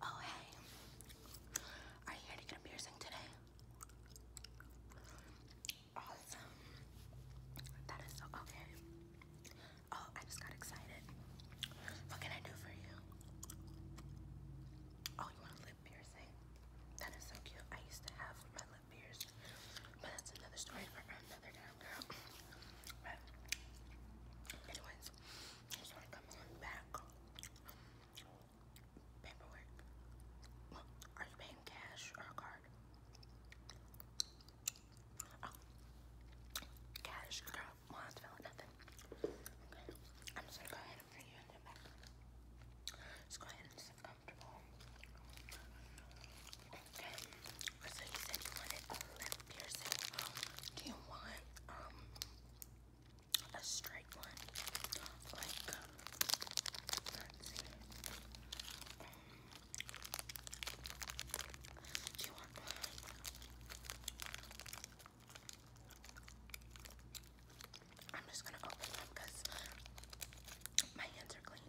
Oh hey, are you here to get a piercing today? Awesome. That is so okay. Oh, I just got excited. What can I do for you? Oh, you want a lip piercing? That is so cute. I used to have my lip pierced, but that's another story for another time, girl. But anyways. It's like I'm back paperwork. Are you paying cash or card? Oh. cash. Girl, nothing. I'm just gonna go ahead and bring you in the back. let go ahead and sit comfortable. Okay, so you said you wanted a lip piercing. Do you want um a straight one. Um, um, I'm just gonna open them my hands are clean.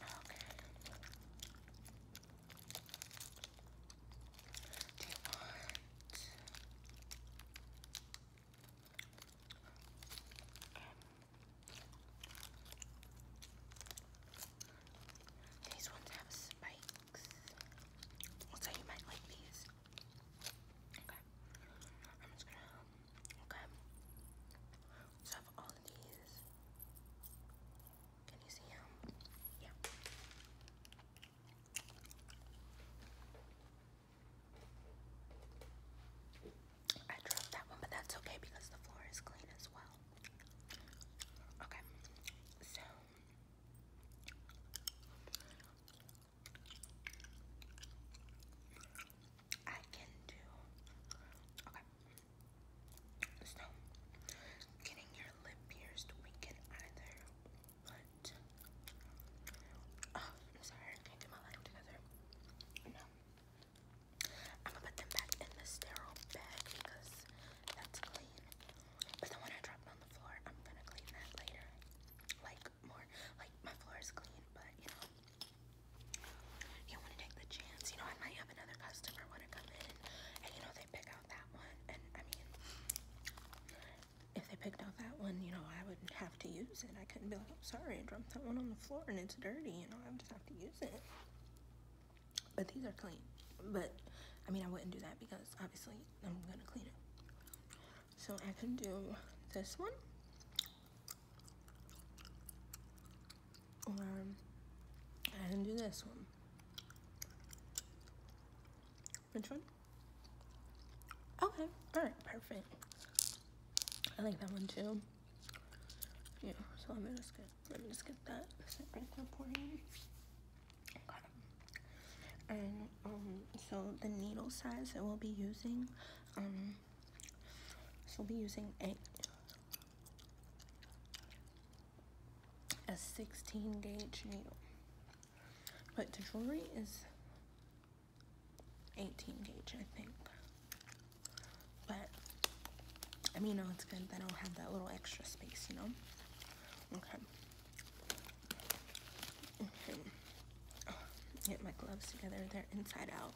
Okay. Do you these ones have spikes? So you might like these. Okay. So I all these. Can you see him? Yeah. I dropped that one, but that's okay because the floor is clean as well. Okay, so I can do okay. So, getting your lip pierced, we can either put. Oh, sorry, can't get my life together. No. I'm gonna put them back in the sterile bag because that's clean. But the one I dropped on the floor, I'm gonna clean that later. Like, more. Like, my floor is clean, but you know. You want to take the chance. You know, I might have another customer want to come in and, you know, pick out that one, and I mean, if they picked out that one, you know, I would have to use it. I couldn't be like, I'm sorry, I dropped that one on the floor and it's dirty, you know, I would just have to use it. But these are clean. But, I mean, I wouldn't do that because obviously I'm gonna clean it. So I can do this one or I did do this one. Which one? Okay, alright, perfect. I like that one too. Yeah, so let me just get let me just get that separate reporting. And um so the needle size that we will be using, um so will be using eight a 16 gauge needle. But the jewelry is 18 gauge, I think. But, I mean, no, it's good that I do have that little extra space, you know? Okay. Okay. get my gloves together. They're inside out.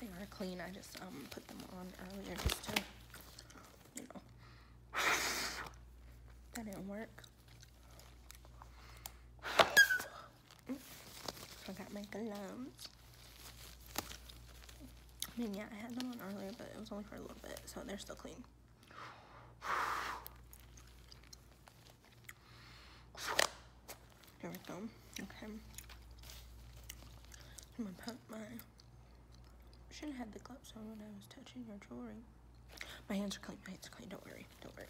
They are clean. I just um, put them on earlier just to that didn't work. I got my gloves. I mean, yeah, I had them on earlier, but it was only for a little bit, so they're still clean. There we go. Okay. I'm gonna put my Shouldn't have had the gloves on when I was touching your jewelry. My hands are clean. My hands are clean. Don't worry. Don't worry.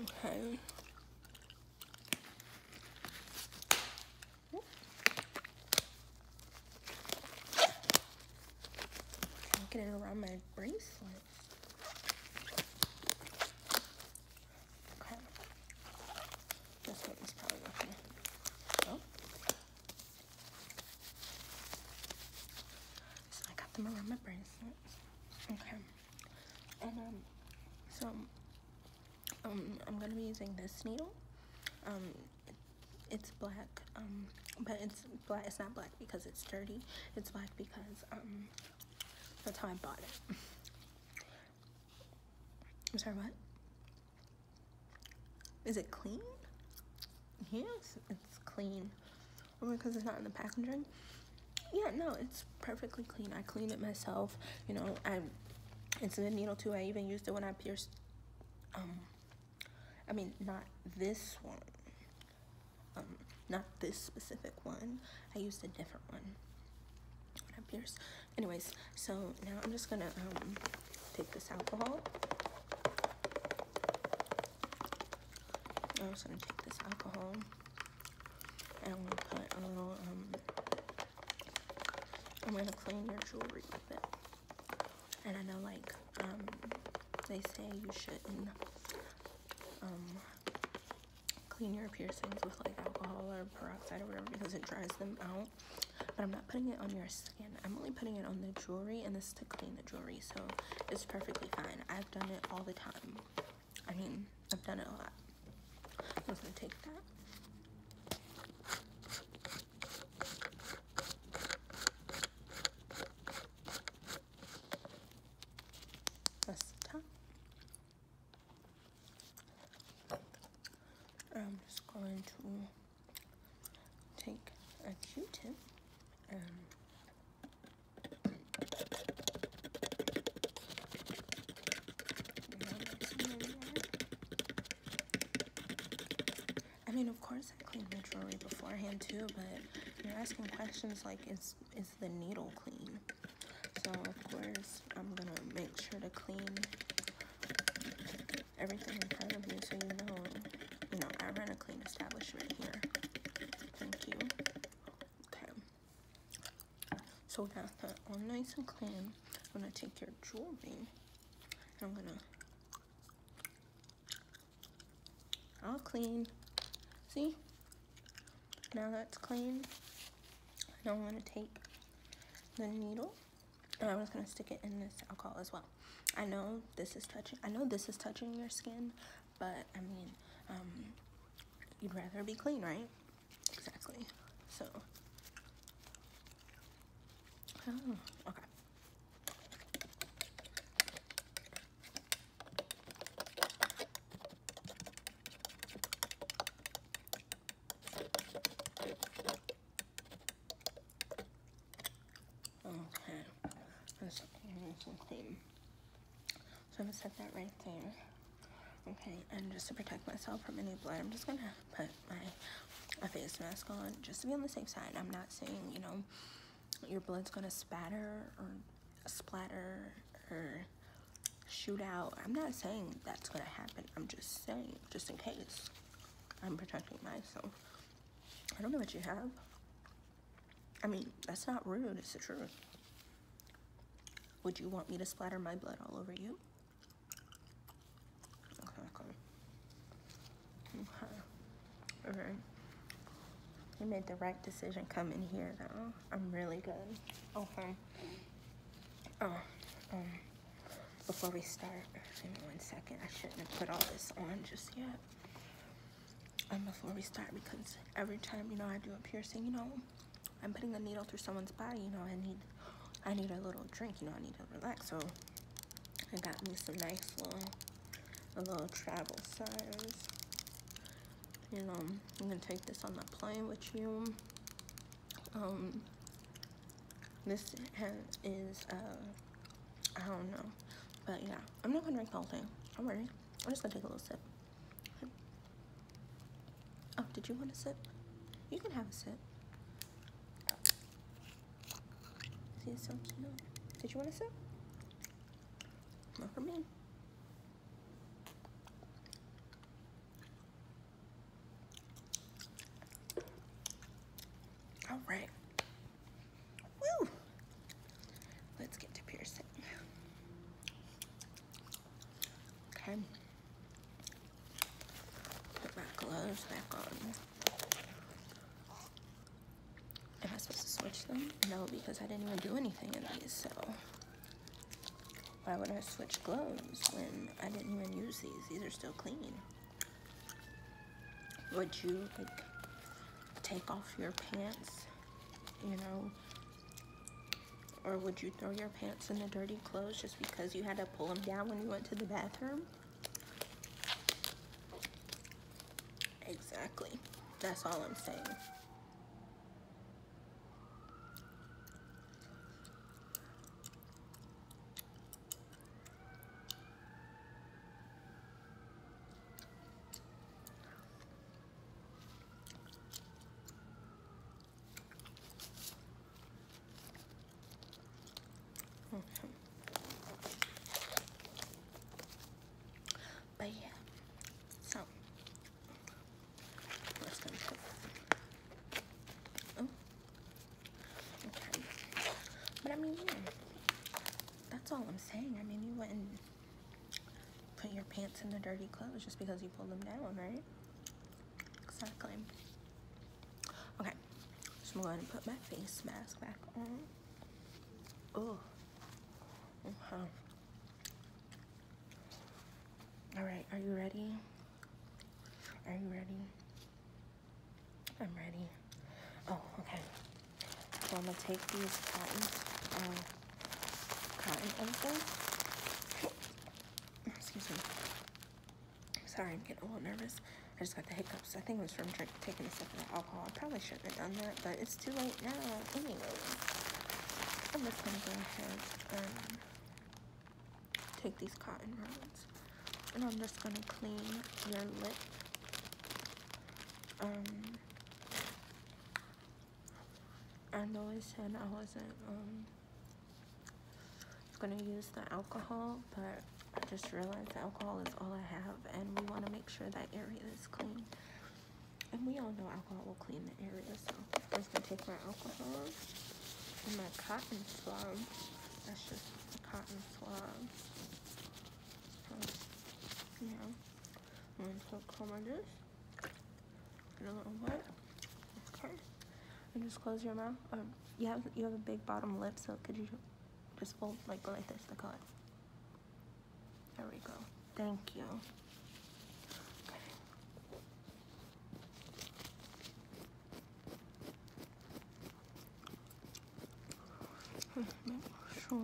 Okay. Get it around my bracelet. Okay. This one's probably okay. Oh. I got them around my bracelet. Okay. And um so um I'm gonna be using this needle. Um it's black, um but it's black. It's not black because it's dirty. It's black because um, that's how I bought it. I'm sorry, what? Is it clean? Yes, it's clean. Only because it's not in the packaging. Yeah, no, it's perfectly clean. I cleaned it myself. You know, I it's a needle too. I even used it when I pierced. Um, I mean, not this one. Um, not this specific one. I used a different one. What up Anyways, so now I'm just gonna um, take this alcohol. I'm just gonna take this alcohol and I'm put a little um, I'm gonna clean your jewelry with it and I know like um, they say you shouldn't um, clean your piercings with like alcohol or peroxide or whatever because it dries them out but I'm not putting it on your skin I'm only putting it on the jewelry and this is to clean the jewelry so it's perfectly fine I've done it all the time I mean I've done it a lot I'm just gonna take that that's the top. I'm just going to take a Q-tip and I mean, of course, I clean my jewelry beforehand too, but you're asking questions like, is, is the needle clean? So, of course, I'm gonna make sure to clean everything in front of you so you know, you know, I run a clean establishment here. Thank you. Okay. So, we got that all nice and clean. I'm gonna take your jewelry I'm gonna I'll clean. See? Now that's clean. I don't want to take the needle. And I'm just going to stick it in this alcohol as well. I know this is touching, I know this is touching your skin, but I mean, um, you'd rather be clean, right? Exactly. So, oh, okay. Okay, let's So I'm gonna set that right there. Okay, and just to protect myself from any blood, I'm just gonna put my a face mask on just to be on the safe side. I'm not saying, you know, your blood's gonna spatter or splatter or shoot out. I'm not saying that's gonna happen. I'm just saying, just in case, I'm protecting myself. I don't know what you have. I mean, that's not rude, it's the truth. Would you want me to splatter my blood all over you? Okay. Okay. You made the right decision coming here, though. I'm really good. Okay. Oh, oh, um, before we start, give me one second. I shouldn't have put all this on just yet. Um, before we start, because every time, you know, I do a piercing, you know, I'm putting a needle through someone's body, you know, I need, I need a little drink, you know, I need to relax. So, I got me some nice little a little travel size. And um, I'm gonna take this on the plane with you. Um, this is, uh, I don't know, but yeah, I'm not gonna drink the whole thing. I'm ready. I'm just gonna take a little sip. Oh, did you want a sip? You can have a sip. She's so cute. Did you want to sip? All right. Let's get to piercing. Okay. Put my gloves back on. Am I supposed to switch them? No, because I didn't even do anything in these, so. Why would I switch clothes when I didn't even use these? These are still clean. Would you, take off your pants, you know? Or would you throw your pants in the dirty clothes just because you had to pull them down when you went to the bathroom? Exactly. That's all I'm saying. Okay. But yeah, so oh, okay. But I mean, yeah, that's all I'm saying. I mean, you wouldn't put your pants in the dirty clothes just because you pulled them down, right? Exactly. Okay, so I'm going to put my face mask back on. Oh. Wow. Uh-huh. All right, are you ready? Are you ready? I'm ready. Oh, okay. So I'm gonna take these cotton, um, cotton inserts. Excuse me. Sorry, I'm getting a little nervous. I just got the hiccups. I think it was from drink, taking a sip of alcohol. I probably shouldn't have done that, but it's too late now. Anyway, I'm just gonna go ahead and take these cotton rounds, and I'm just gonna clean your lip. Um, I always said I wasn't um gonna use the alcohol, but I just realized alcohol is all I have, and we want to make sure that area is clean. And we all know alcohol will clean the area, so I'm just gonna take my alcohol and my cotton swab. That's just a cotton swab. yeah. I'm gonna take some of this. Get a little bit. Okay. And just close your mouth. Um, you have you have a big bottom lip, so could you just fold like like this to color? There we go. Thank you. Okay. Let's make sure.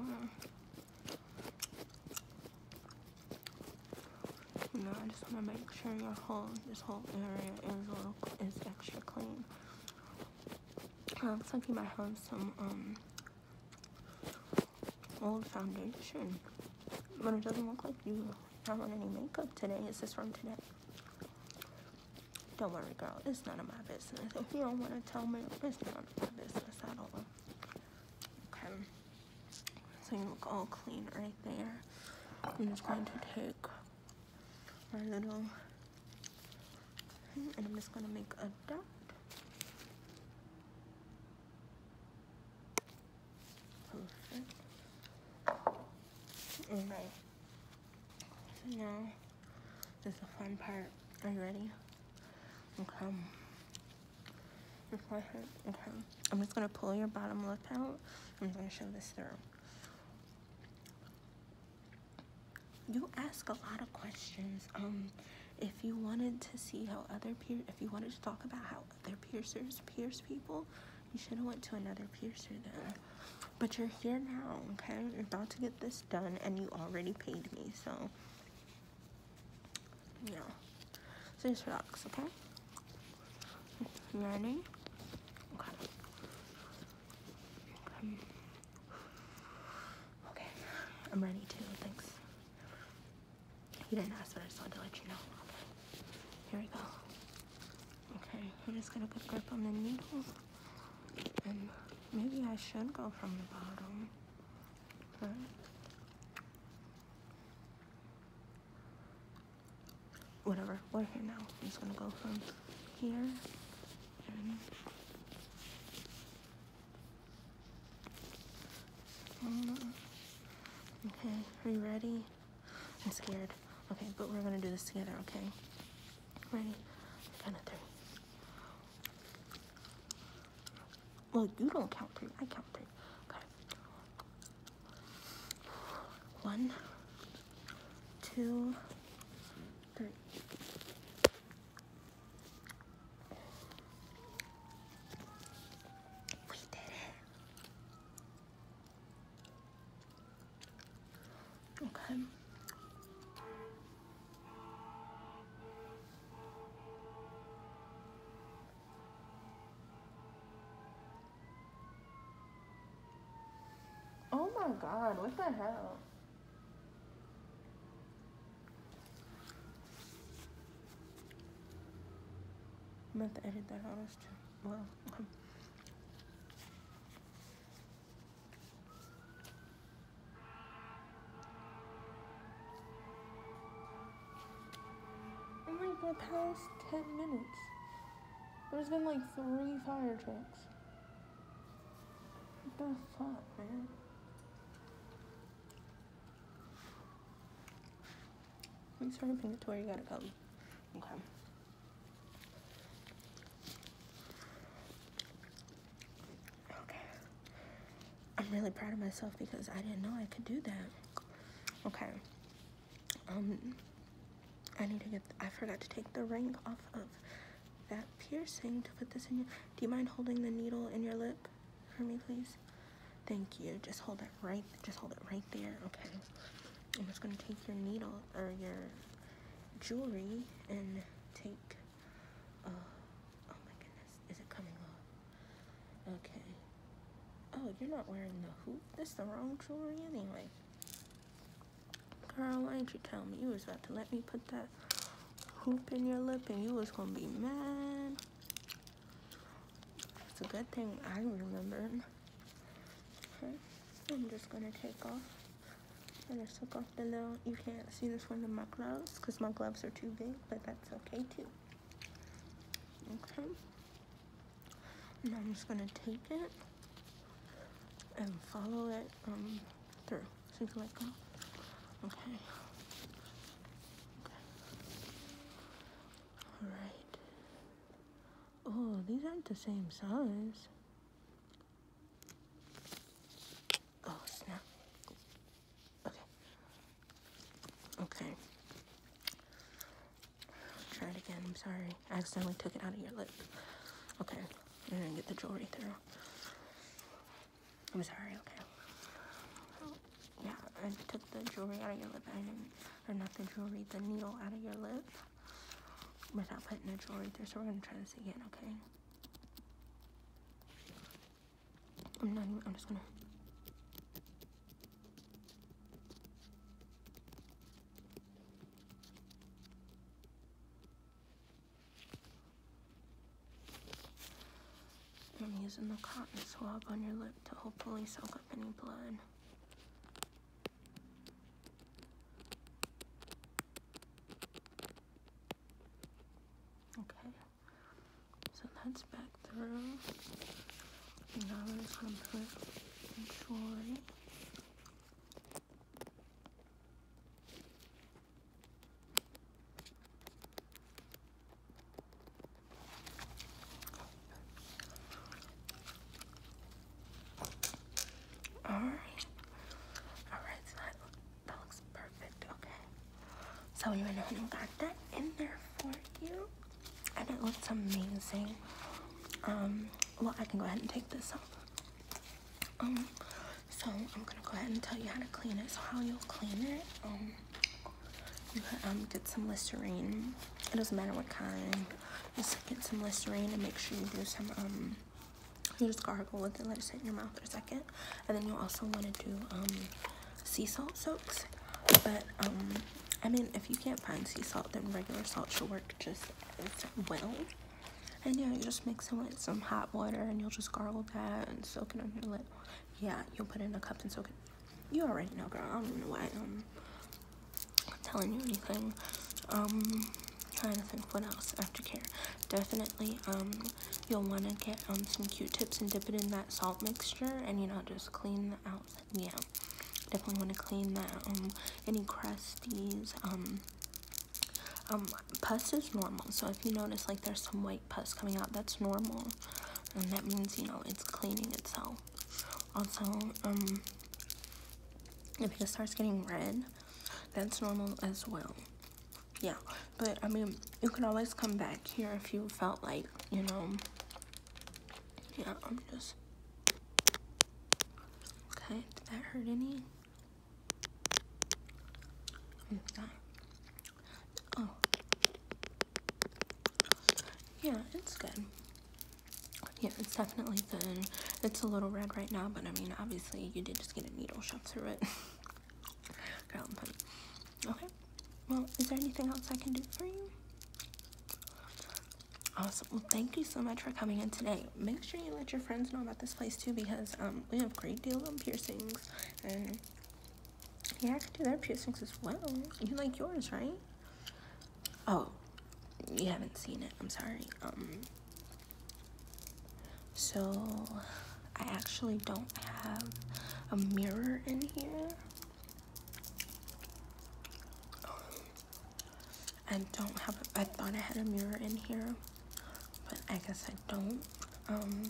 You I just want to make sure your whole, this whole area is, little, is extra clean. I also do I have some um, old foundation, but it doesn't look like you have on any makeup today. Is this from today? Don't worry, girl. It's none of my business. If you don't want to tell me, it's none of my business at all. Okay. So you look all clean right there. I'm just going to take my little Mm-hmm. and I'm just gonna make a dot perfect okay so now this is the fun part are you ready okay okay I'm just gonna pull your bottom lip out I'm gonna show this through you ask a lot of questions. Um, if you wanted to see how other peer, if you wanted to talk about how other piercers pierce people, you should have went to another piercer then. But you're here now, okay? You're about to get this done, and you already paid me, so yeah. So just relax, okay? You ready? okay. Hmm. Okay, I'm ready too, thanks. You didn't ask, but I just wanted to let you know. Here we go. Okay, i just gonna put grip on the needle. And maybe I should go from the bottom. But whatever, we're here now. I'm just gonna go from here Mm-hmm. Okay, are you ready? I'm scared. Okay, but we're gonna do this together, okay? Ready? Count of three. Well, you don't count three, I count three. Okay. One, two, three. We did it. Okay. Oh my god, what the hell? I'm gonna have to edit that out as too. Well, oh my god, past 10 minutes. There's been like three fire trucks. What the fuck, man? I'm sorry, Victoria, you gotta go. Okay. Okay. I'm really proud of myself because I didn't know I could do that. Okay. Um, I need to get, I forgot to take the ring off of that piercing to put this in your, do you mind holding the needle in your lip for me, please? Thank you. Just hold it right, just hold it right there. Okay. I'm just going to take your needle or your jewelry and take, uh, oh my goodness, is it coming off? Okay. Oh, you're not wearing the hoop. That's the wrong jewelry anyway. Carl, why didn't you tell me? You was about to let me put that hoop in your lip and you was gonna be mad. It's a good thing I remembered. Okay, I'm just gonna take off. I'm gonna took off the little, you can't see this one in my gloves because my gloves are too big, but that's okay too. Okay. Now I'm just gonna take it and follow it um, through. Since let go. Okay. All right. Oh, these aren't the same size. Oh, snap. Okay. Okay. try it again. I'm sorry. I accidentally took it out of your lip. Okay and get the jewelry through. I'm sorry, okay. Yeah, I took the jewelry out of your lip. I did or not the jewelry, the needle out of your lip. Without putting the jewelry through, so we're gonna try this again, okay? I'm not even, I'm just gonna. I'm using the cotton swab on your lip to hopefully soak up any blood. Okay, so that's back through. now we're just gonna all right. All right, so that, looks perfect, okay? So we went ahead and got that in there for you. And it looks amazing. Um, well, I can go ahead and take this off. Um, so I'm gonna go ahead and tell you how to clean it. So how you'll clean it, um, you can um, get some Listerine. It doesn't matter what kind. Just get some Listerine and make sure you do some, um, you just gargle with it, let it sit in your mouth for a second. And then you'll also wanna do um, sea salt soaks. But um, I mean, if you can't find sea salt, then regular salt should work just as well. And yeah, you just mix it with some hot water and you'll just gargle that and soak it on your lip. Yeah, you'll put it in a cup and soak it. You already know, girl. I don't know why um, I'm telling you anything. Um, trying to think what else. Aftercare. Definitely, um, you'll want to get um, some Q-tips and dip it in that salt mixture and, you know, just clean the out. Yeah, definitely want to clean that, um, any crusties, um, um, pus is normal, so if you notice like there's some white pus coming out, that's normal, and that means you know it's cleaning itself. Also, um, if it starts getting red, that's normal as well. Yeah, but I mean, you can always come back here if you felt like you know. Yeah, I'm just okay. Did that hurt any? Oh. Yeah, it's good. Yeah, it's definitely thin. It's a little red right now, but I mean, obviously, you did just get a needle shot through it. Okay. Well, is there anything else I can do for you? Awesome. Well, thank you so much for coming in today make sure you let your friends know about this place too because um we have great deal on piercings and yeah I could do their piercings as well. You like yours, right? Oh, you haven't seen it. I'm sorry. Um. So I actually don't have a mirror in here. I don't have, I thought I had a mirror in here, but I guess I don't. Um,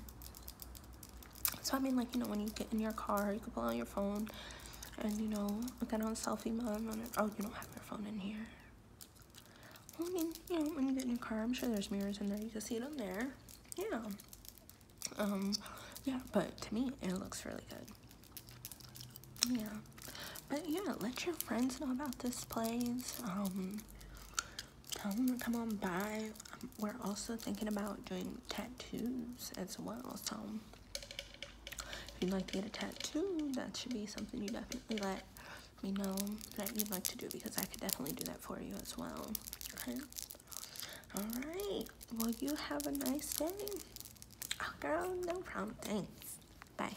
so I mean, like, you know, when you get in your car, you can pull out your phone and, you know, look at on selfie mode. On Oh, you don't have your phone in here. I mean, you know, when you get in your car, I'm sure there's mirrors in there. You can see them there. Yeah. Um, yeah, but to me, it looks really good. Yeah. But yeah, let your friends know about this place. Um, come them come on by. Um, we're also thinking about doing tattoos as well. So if you'd like to get a tattoo, that should be something you definitely let me know that you'd like to do because I could definitely do that for you as well. Okay. All right. Well, you have a nice day. Oh, girl, no problem. Thanks. Bye.